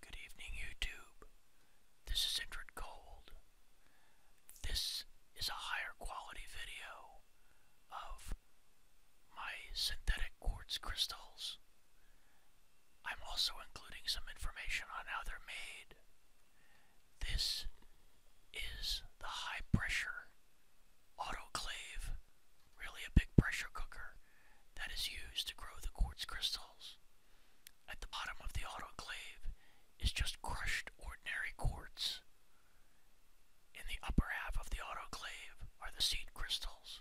Good evening, YouTube. This is Indrid Gold. This is a higher quality video of my synthetic quartz crystals. I'm also including some information on how they're made. This is the high pressure autoclave, really a big pressure cooker that is used to grow the quartz crystals. At the bottom of the autoclave is just crushed ordinary quartz. In the upper half of the autoclave are the seed crystals.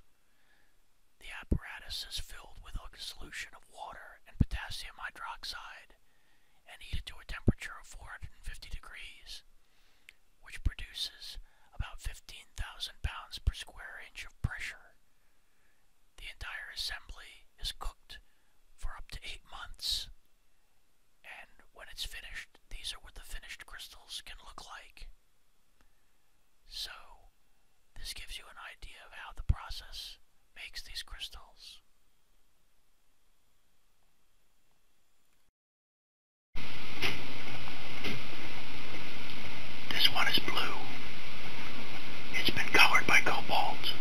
The apparatus is filled with a solution of water and potassium hydroxide and heated to a temperature of 450 degrees, which produces about 15,000 pounds per square inch of pressure. The entire assembly is cooked for up to eight months, and when it's finished, these are what the finished crystals can look like. So, this gives you an idea of how the process makes these crystals. This one is blue. It's been colored by cobalt.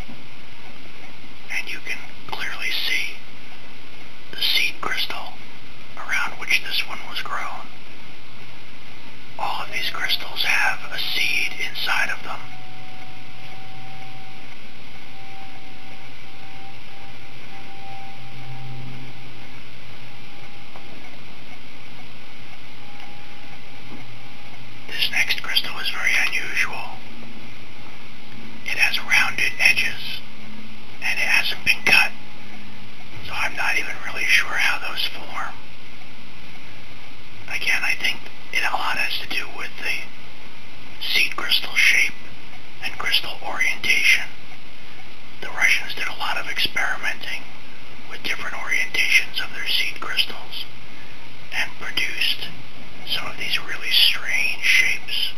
And you can clearly see the seed crystal around which this one was grown. All of these crystals have a seed inside of them. This next crystal is very unusual. It has rounded edges, and it hasn't been cut, so I'm not even really sure how those form. Again, I think it a lot has to do with the seed crystal shape and crystal orientation. The Russians did a lot of experimenting with different orientations of their seed crystals and produced some of these really strange shapes.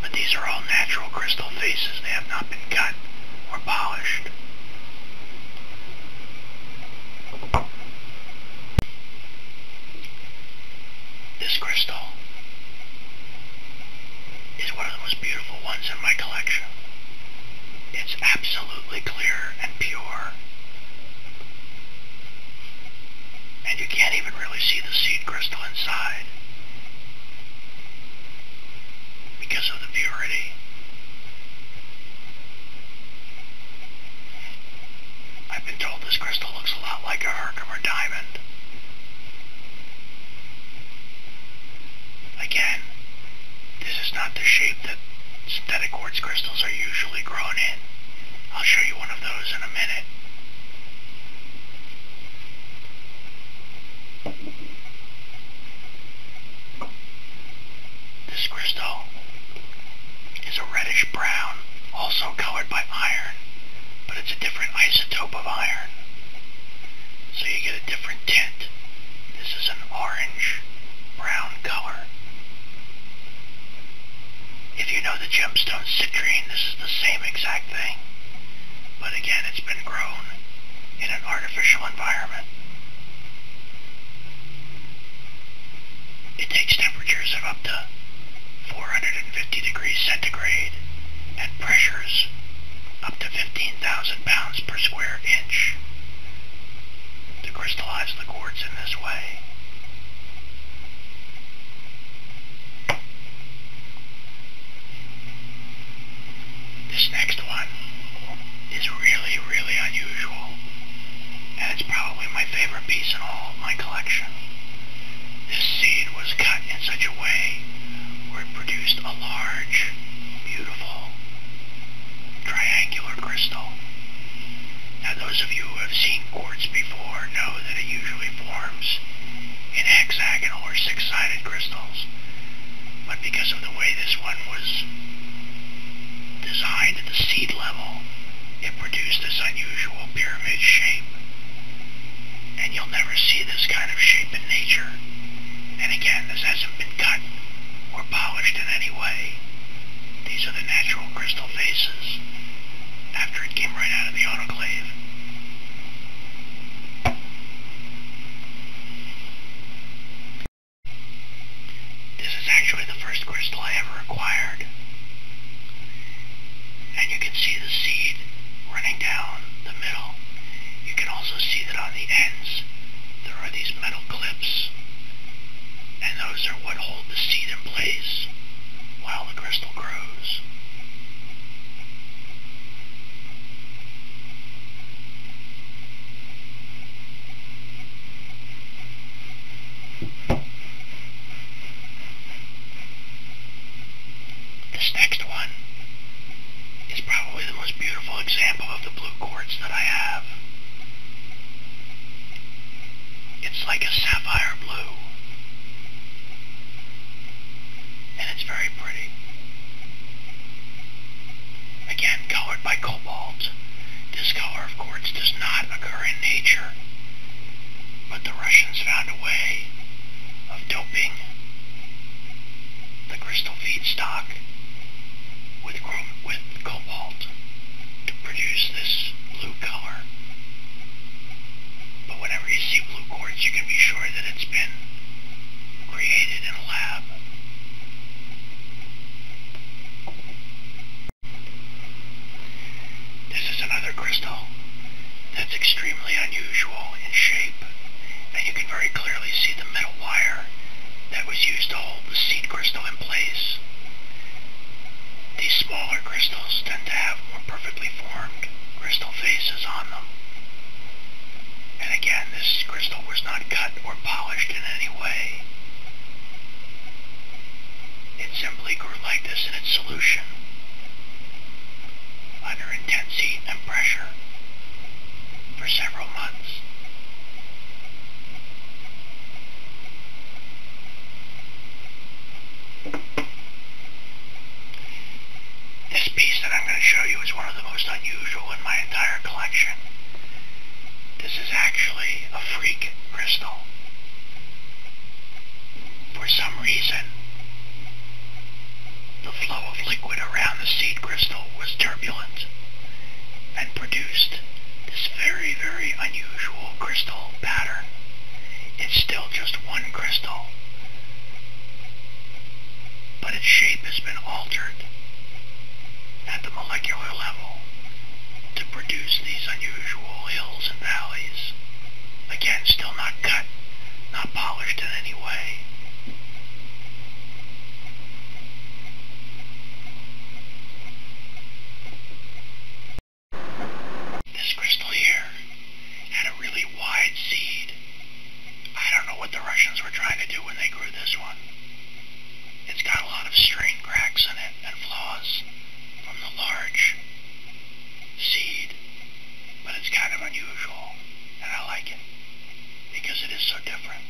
But these are all natural crystal faces. They have not been cut or polished. This crystal is one of the most beautiful ones in my collection. It's absolutely clear and pure. And you can't even really see the seed crystal inside because of the purity. I've been told this crystal looks a lot like a Herkimer diamond. Again, this is not the shape that synthetic quartz crystals are usually grown in. I'll show you one of those in a minute. This crystal is a reddish brown, also colored by iron, but it's a different isotope of iron. So you get a different tint. This is an orange brown color. If you know the gemstone citrine, this is the same exact thing. But again, it's been grown in an artificial environment. It takes temperatures of up to 450 degrees centigrade and pressures up to 15,000 pounds per square inch to crystallize the quartz in this way. This next one is really, really unusual, and it's probably my favorite piece in all my collection. This seed was cut in such a way it produced a large, beautiful, triangular crystal. Now those of you who have seen quartz before know that it usually forms in hexagonal or six-sided crystals. But because of the way this one was designed at the seed level, it produced this unusual pyramid shape. And you'll never see this kind of shape in nature. And again, this hasn't been cut or polished in any way. These are the natural crystal faces after it came right out of the autoclave. This is actually the first crystal I ever acquired. And you can see the seed running down the middle. You can also see that on the ends there are these metal clips, and those are what hold the seed in place while the crystal grows. This next one is probably the most beautiful example of the blue quartz that I have. It's like a sapphire blue. And it's very pretty. Again, colored by cobalt. This color of quartz does not occur in nature. But the Russians found a way of doping the crystal feedstock with, with cobalt to produce this blue color. But whenever you see blue quartz, you can be sure that it's been created in a lab. This is another crystal that's extremely unusual in shape, and you can very clearly see the metal wire that was used to hold the seed crystal in place. These smaller crystals tend to have more perfectly formed crystal faces on them. And again, this crystal was not cut or polished in any way. It simply grew like this in its solution under intensity and pressure for several months. This piece that I'm going to show you is one of the most unusual in my entire collection. This is actually a freak crystal. For some reason, the flow of liquid around the seed crystal was turbulent and produced this very, very unusual crystal pattern. It's still just one crystal, but its shape has been altered at the molecular level to produce these unusual hills and valleys. Again, still not cut, not polished in any way. This crystal here had a really wide seed. I don't know what the Russians were trying to do when they grew this one. It's got a lot of strain cracks in it and flaws from the large seed. But it's kind of unusual, and I like it because it is so different.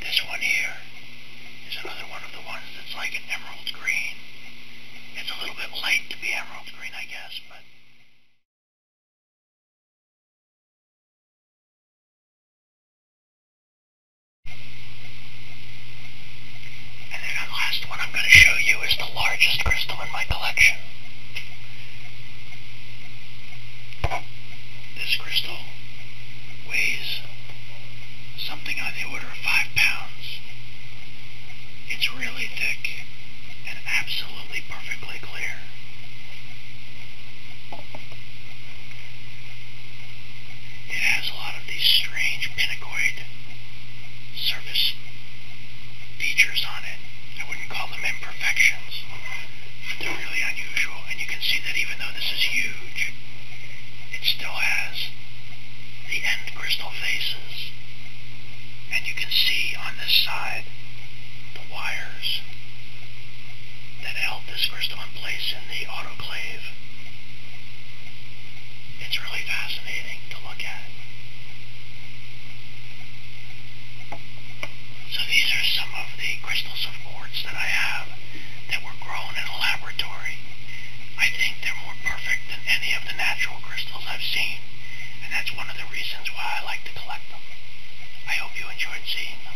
This one here is another one of the ones that's like an emerald green. It's a little bit light to be emerald green, I guess, but... And then the last one I'm going to show you is the largest crystal in my collection. This crystal weighs something on the order of five pounds. It's really thick and absolutely perfectly clear. It has a lot of these strange pinacoid surface features on it. I wouldn't call them imperfections. They're really unusual, and you can see that even though this is huge, it still has the end crystal faces. And you can see on this side the wires that held this crystal in place in the autoclave. It's really fascinating to look at. So these are some of the crystals of quartz that I have that were grown in a laboratory. I think they're more perfect than any of the natural crystals I've seen, and that's one of the reasons why I like to collect them. I hope you enjoyed seeing them.